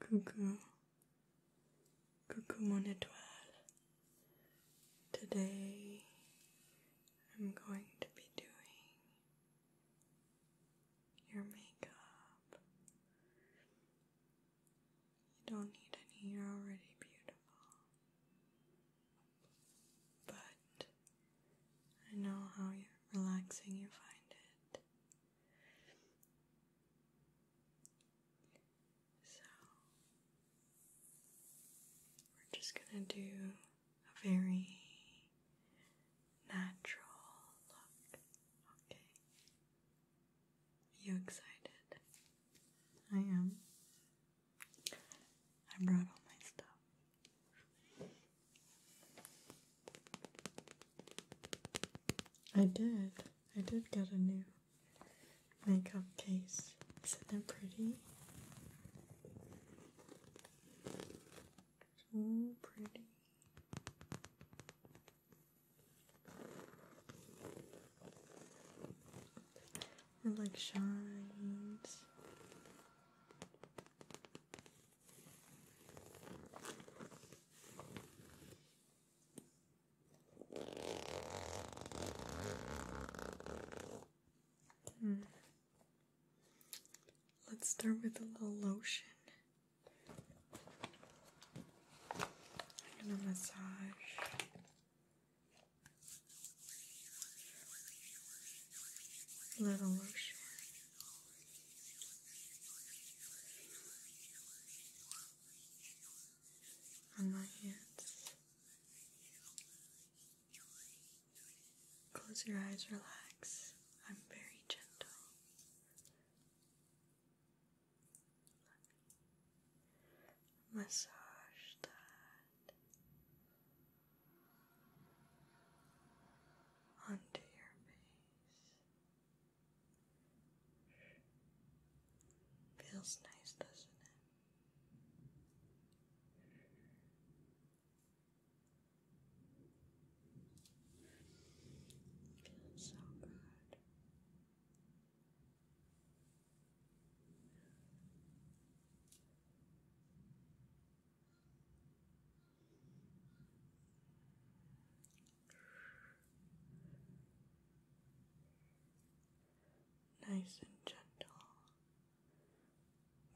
Coucou, coucou mon étoile. Today I'm going to be doing your makeup. You don't need any, you're already beautiful. But I know how relaxing you find it. So we're just going to do a very natural look. Okay. you excited? I am. I brought all my stuff. I did. I did get a new makeup case. Isn't that pretty? So pretty. It like shines. Hmm. Let's start with a little lotion. I'm massage. Little lotion on my hands. Close your eyes, relax. I'm very gentle. Massage that. Under your face. Feels nice, doesn't it? Feels so good. Nice and gentle,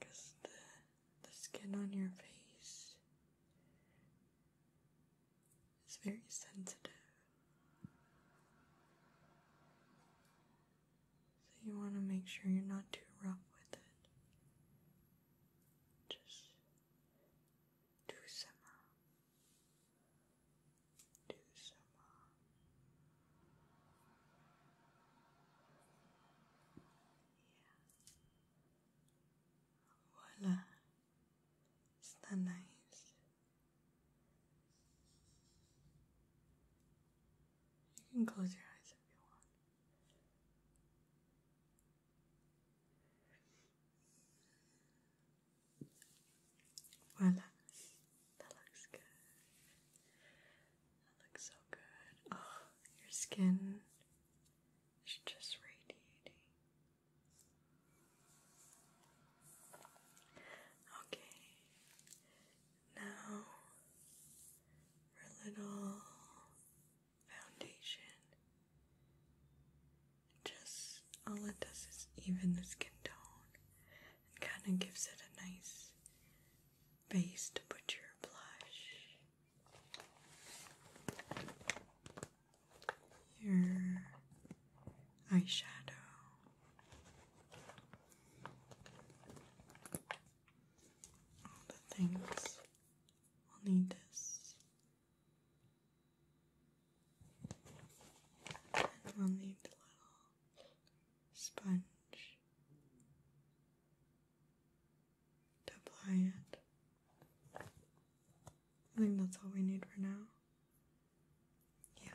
because the, the skin on your face is very sensitive. So you want to make sure you're not too rough with it. Just do some, do some. Yeah. Voila. Está nice. You can close your eyes if you want. Voila. That looks good. That looks so good. Oh, your skin is just radiating. Okay. Now, for little foundation. Just all it does is even the skin tone and kind of gives it a nice base to put your blush, your eyeshadow. All the things we will need this. And we'll need the little sponge to apply it. I think that's all we need for now. Yeah.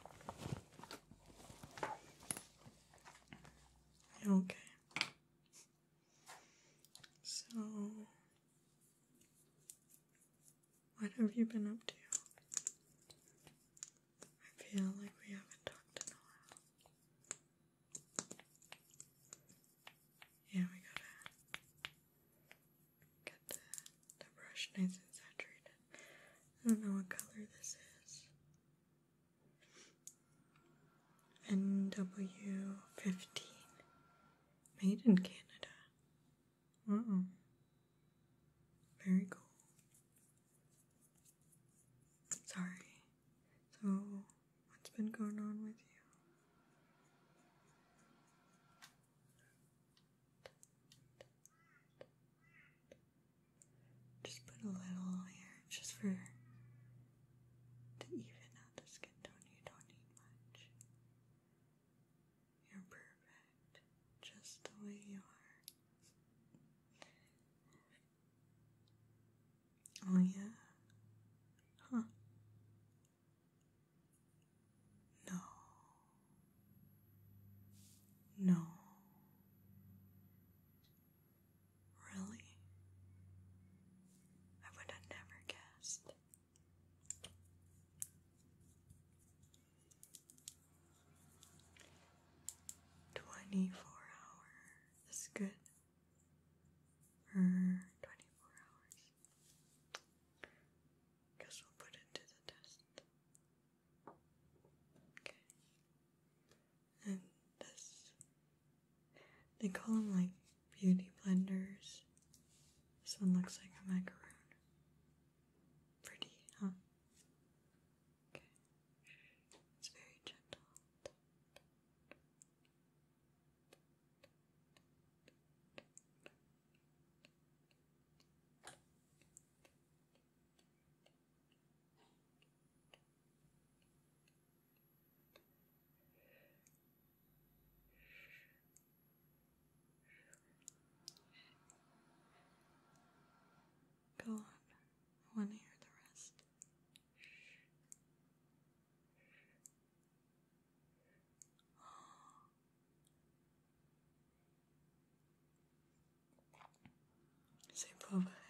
Okay. So, what have you been up to? I feel like we haven't talked in a while. Yeah, we gotta get the, the brush nice and saturated. I don't know what color this is. NW15 made in Canada. Wow. Very cool. Sorry. So, what's been going on with you? Just put a little here, just for to even out the skin tone. You don't need much. You're perfect, just the way you are. Oh, yeah? Huh. No. No. Really? I would have never guessed. Twenty four hour is good for er, twenty four hours. Guess we'll put it to the test. Okay and this they call them like beauty blenders. This one looks like a macaroon. Pretty, huh? Okay. It's very gentle. Go on. I want to hear the rest. Sei povera.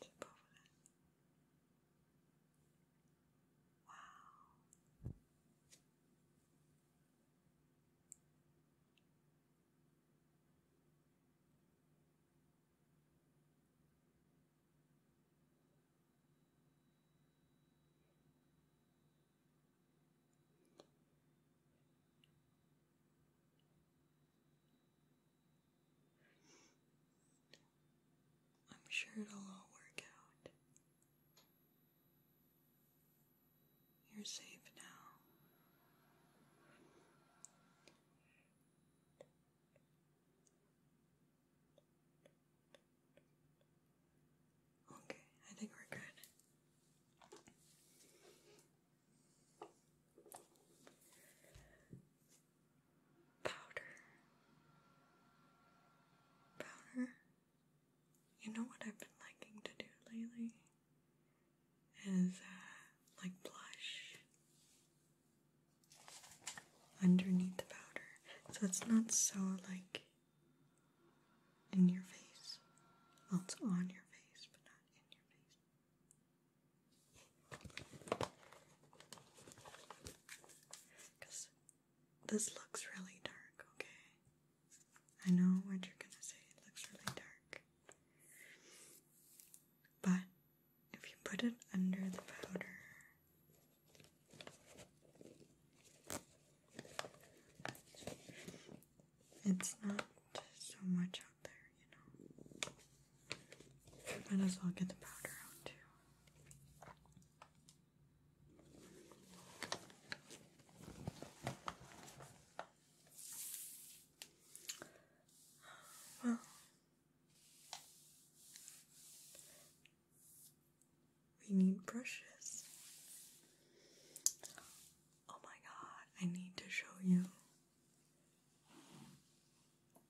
Sei povera. Wow. I'm sure it'll all work out. You're safe now. Okay, I think we're good. Powder. Powder. You know what I've been liking to do lately? Is uh, like blush underneath the powder. So it's not so like in your face. Well, it's on your face, but not in your face. Because this looks really dark, okay? I know what you're gonna say, it looks really dark. But if you put it under the powder, it's not so much out there, you know. Might as well get the powder out too. Well, we need brushes. Oh my god, I need to show you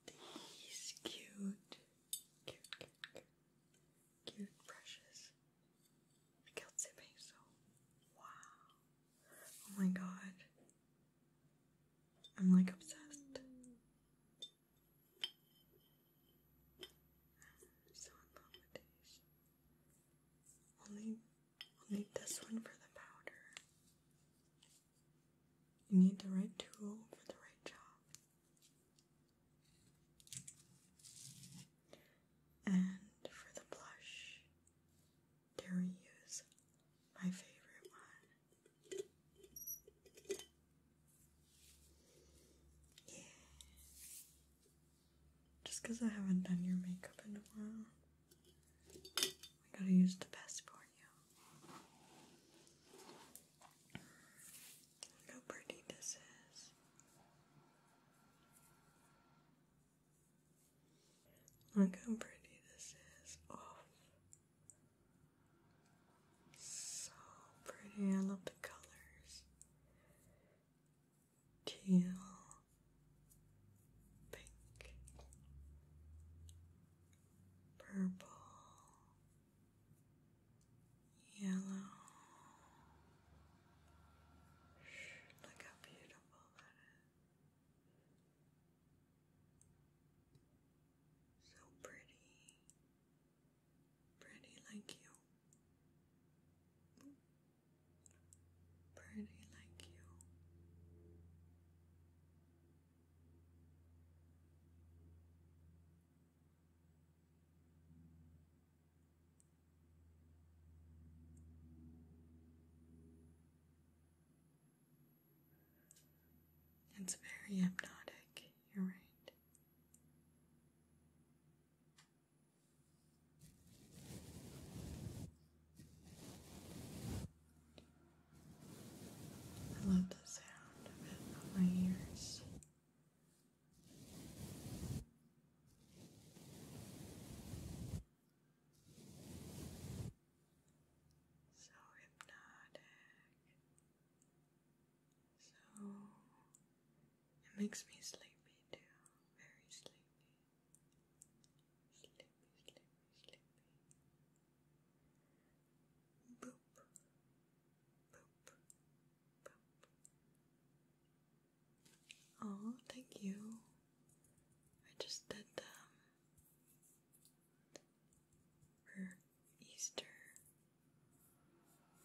these cute, cute, cute, cute, cute brushes. Kelsey Basil. Wow. Oh my god. I'm like obsessed. so in I'll this one for the powder. You need the right tool for the right job. And for the blush, dare use my favorite one? Yeah. Just I haven't done your makeup in a while. I gotta use the best for you. Look how pretty this is. Look how pretty this is. Oh. So pretty. I love the colors teal, pink, purple, yellow. look how beautiful that is. So pretty. Pretty like you pretty like you. It's very hypnotic, you're right. I love the sound of it on my ears. So hypnotic. So it makes me sleepy too, very sleepy. Sleepy, sleepy, sleepy. Boop, boop, boop. Oh, thank you. I just did them um, for Easter.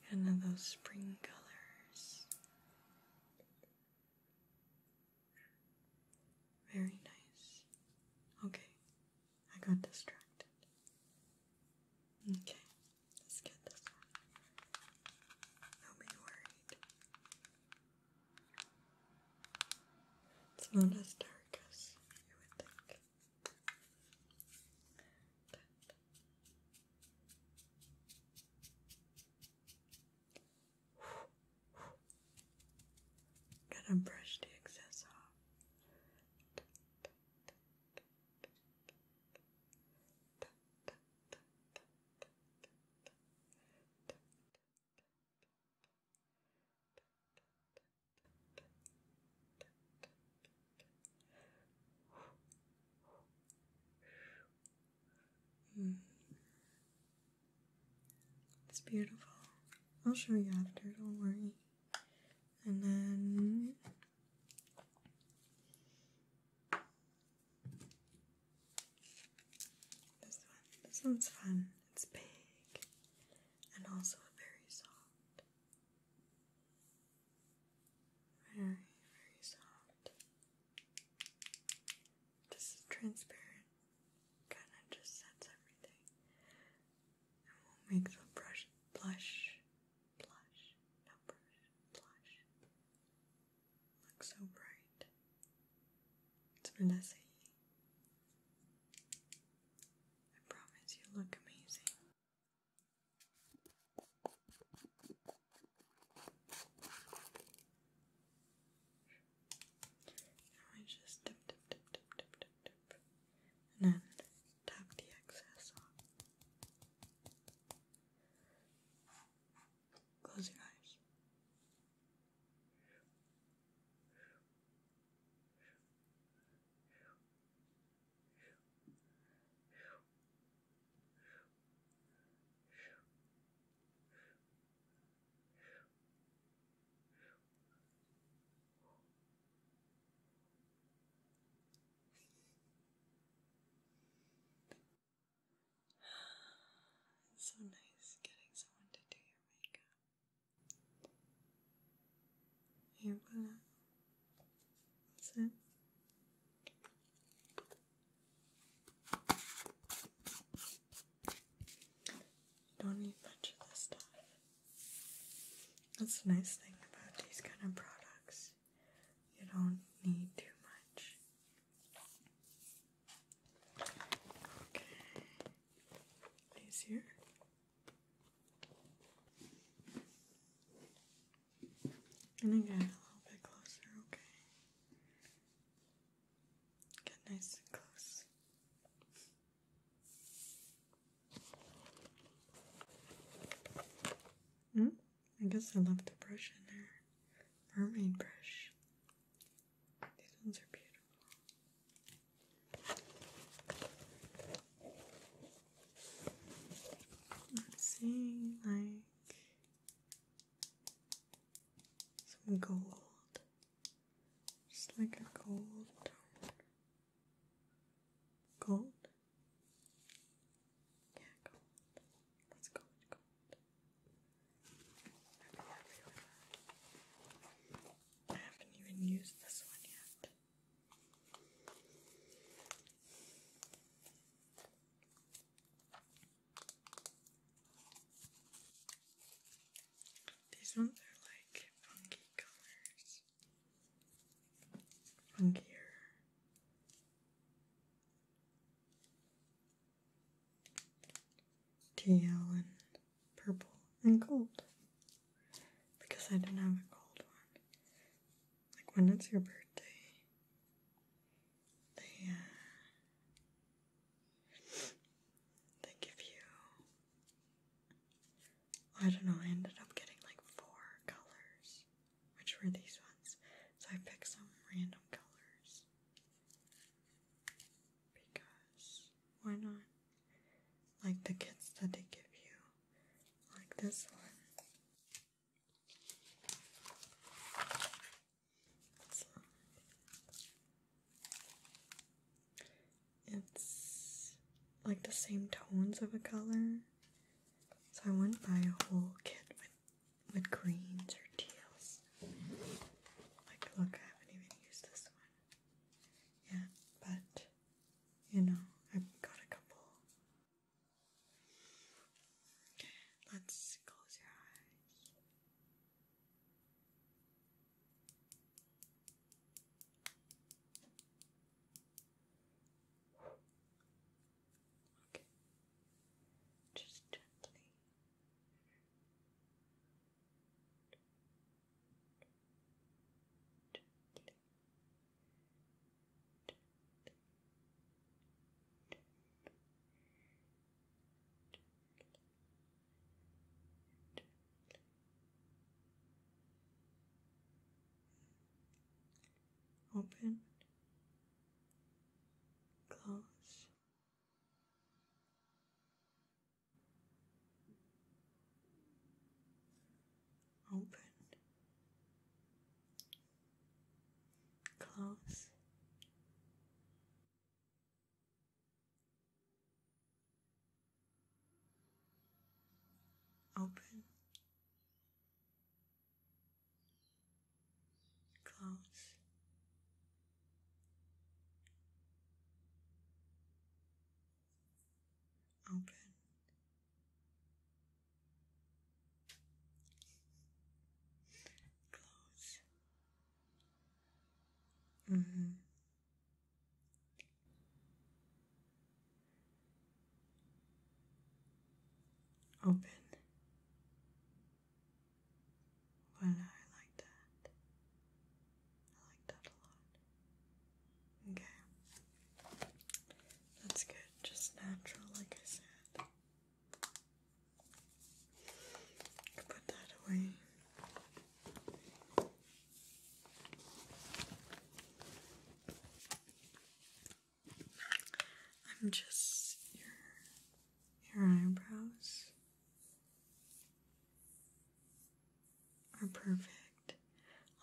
Kind those spring colors. Very nice. Okay, I got distracted. Okay, let's get this one. Don't be worried. It's not as dark as you would think. gonna brush the excess off. Mm. It's beautiful. I'll show you after, don't worry. And then. This one. This one's fun. It's big and also very soft. Very, very soft. This is transparent, kind of just sets everything, and will make the brush blush, blush, no brush, blush. Look so bright. It's Vanessa. I promise you look amazing. Now I just dip, dip, dip, dip, dip, dip, dip, and then tap the excess on. Close your eyes. It's so nice getting someone to do your makeup. Here, that's it. You don't need much of this stuff. That's the nice thing about these kind of products. You don't need too much. Okay. These here. And again, a little bit closer, okay? Get nice and close. Mm, I guess I left the brush in there. Mermaid brush. These ones are beautiful. Let's see, like some gold, just like a gold tone. Gold? Yeah, gold. Let's go with gold. I haven't even used this one yet. These ones are like funky colors. Funkier. Teal and purple and gold. Because I didn't have a gold one. Like when it's your birthday, they, they give you. I don't know, I ended up getting like four colors, which were these ones. So I picked some random colors. Because, why not? Like the kits that they give you, like this one. It's like the same tones of a color. So I wouldn't buy a whole kit with, with greens or teals. Like, look, I haven't even used this one. Yeah, but, you know, I've got a couple Let's close your eyes. Okay. Just gently. Gently. Gently. Open, close. Open, close. Open, close, open, Close. Mm -hmm. Open. Well, I like that. I like that a lot. Okay. That's good. Just natural, like I said. Put that away. I'm just your your eyebrows are perfect.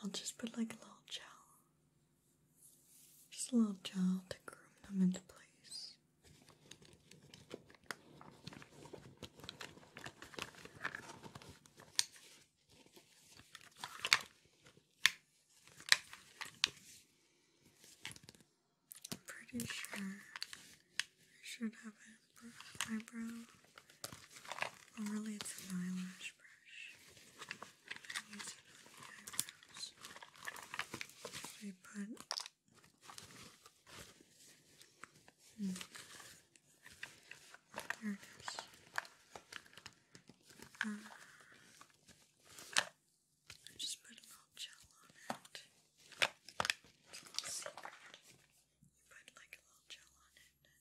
I'll just put like a little gel just a little gel to groom them into place. pretty sure I should have an eyebrow. Oh, really, it's an eyelash brush. These I put. Hmm. There it is. Uh, just put a little gel on it. You put like a little gel on it and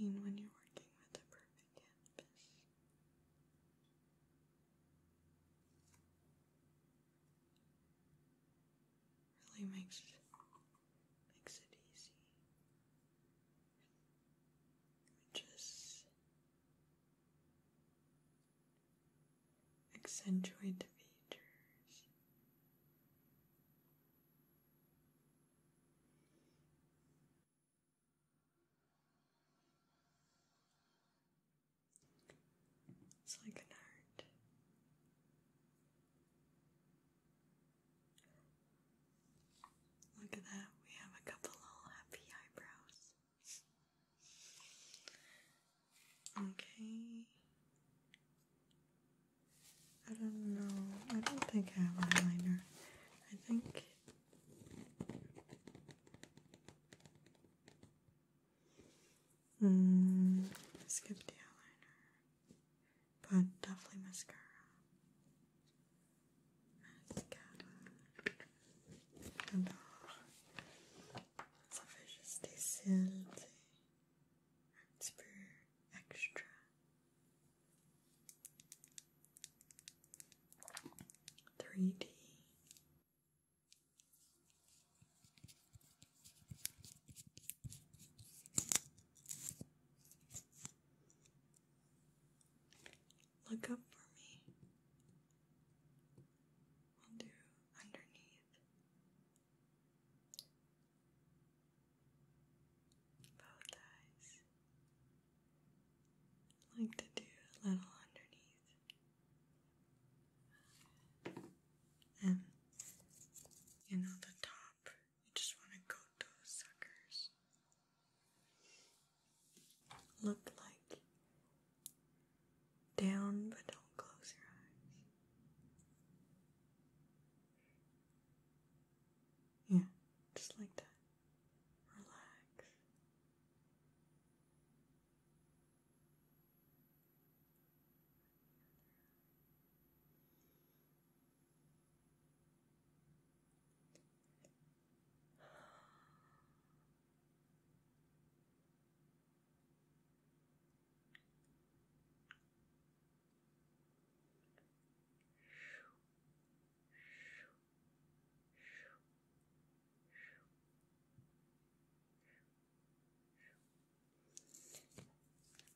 I mean, when you're working with a perfect canvas, really makes makes it easy. Just accentuate the features. It's like an art. Look at that, we have a couple little happy eyebrows. Okay. I don't know. I don't think I have eyeliner. I think mm, skip the eyeliner. But definitely mascara. Mascara. Hello. It's a just stays healthy extra. Three D. Look up for me. We'll do underneath. Both eyes. like to do a little underneath. And um, you know the top. You just want to coat those suckers. Look like down, but don't close your eyes. Yeah, just like that. Relax.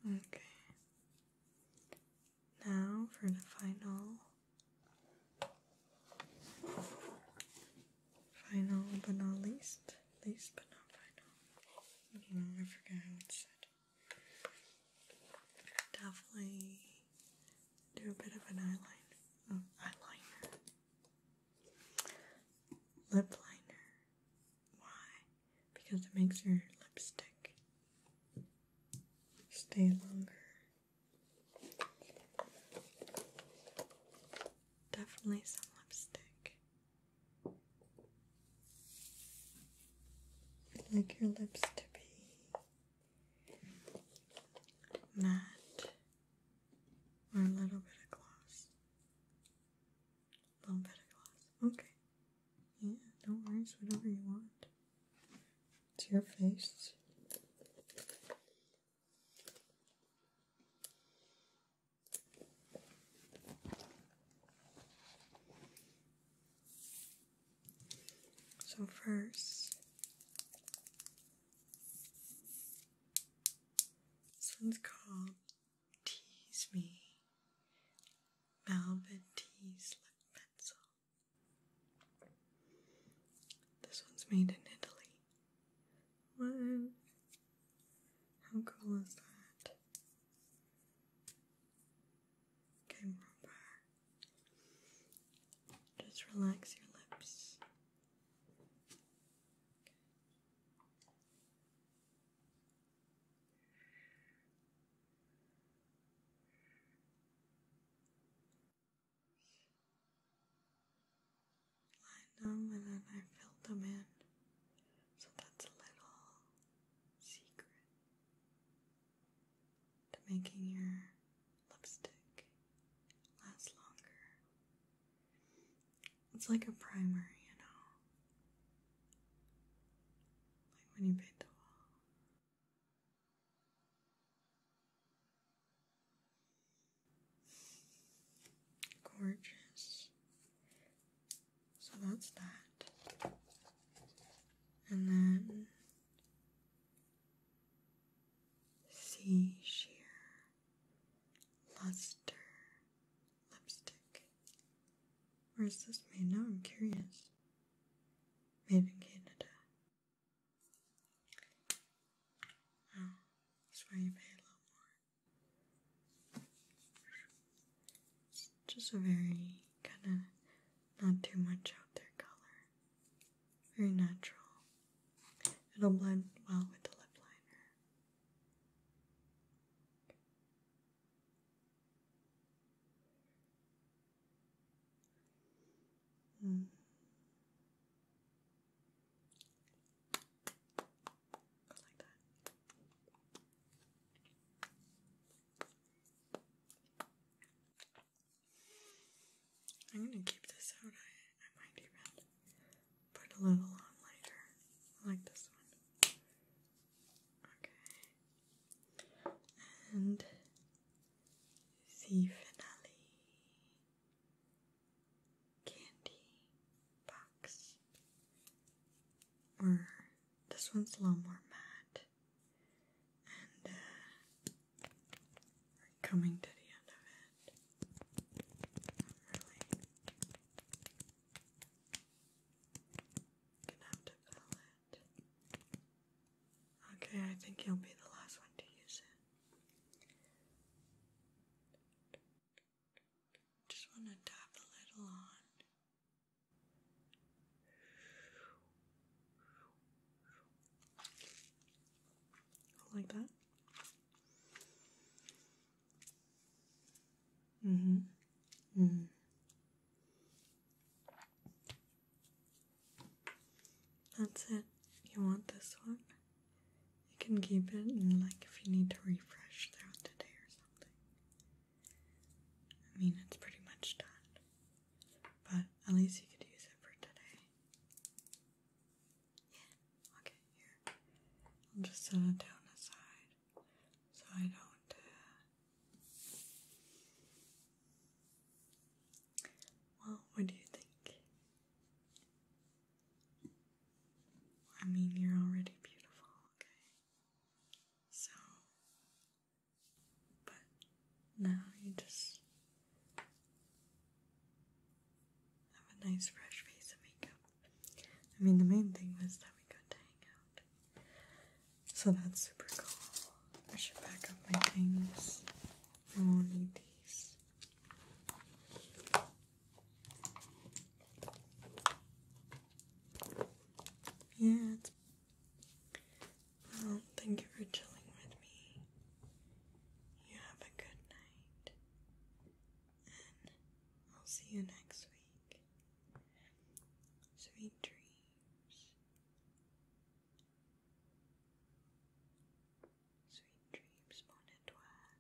Okay. Now for the final Final but not least, least but not final. I do how it said. Definitely do a bit of an mm, eyeliner. Lip liner. Why? Because it makes your lipstick stay longer Definitely some lipstick. I'd like your lips to be matte or a little bit of gloss. A little bit of gloss. Okay. Yeah, no worries, whatever you want. To your face. So first, this one's called Tease Me Malvin Tease Lip Pencil. This one's made in Italy. One. How cool is that? Okay, remember. Just relax your lips line them and then I filled them in. So that's a little secret to making your lipstick last longer. It's like a primer, you know. Like when you paint the wall. Gorgeous. So that's that. And then sea sheer luster lipstick. Where is this made? Now I'm curious. Made in Canada that's why you pay a little more. It's just a very kind of not too much out there color. Very natural. It'll blend well with the lip liner. Mm. I'm gonna keep this out. I, I might even put a little on later. I like this one. Okay. And the finale candy box. Or this one's a little more matte. And uh, we're coming to the end of it. really. Gonna have to fill it. Okay, I think you'll be the last one to use it. Just want to tap a little on. Like that. Mm-hmm. Mm. That's it. You want this one? You can keep it and like if you need to refresh throughout the day or something. I mean it's pretty much done. But at least you could use it for today. Yeah, okay, here. I'll just set it down aside so I don't uh, well, what do you think? I mean, you're already beautiful, okay? So, but now you just have a nice fresh face of makeup. I mean, the main thing was that we got to hang out. So that's super cool. I should pack up my things. I will Yeah, well, thank you for chilling with me. You have a good night. And I'll see you next week. Sweet dreams. Sweet dreams, mon étoile.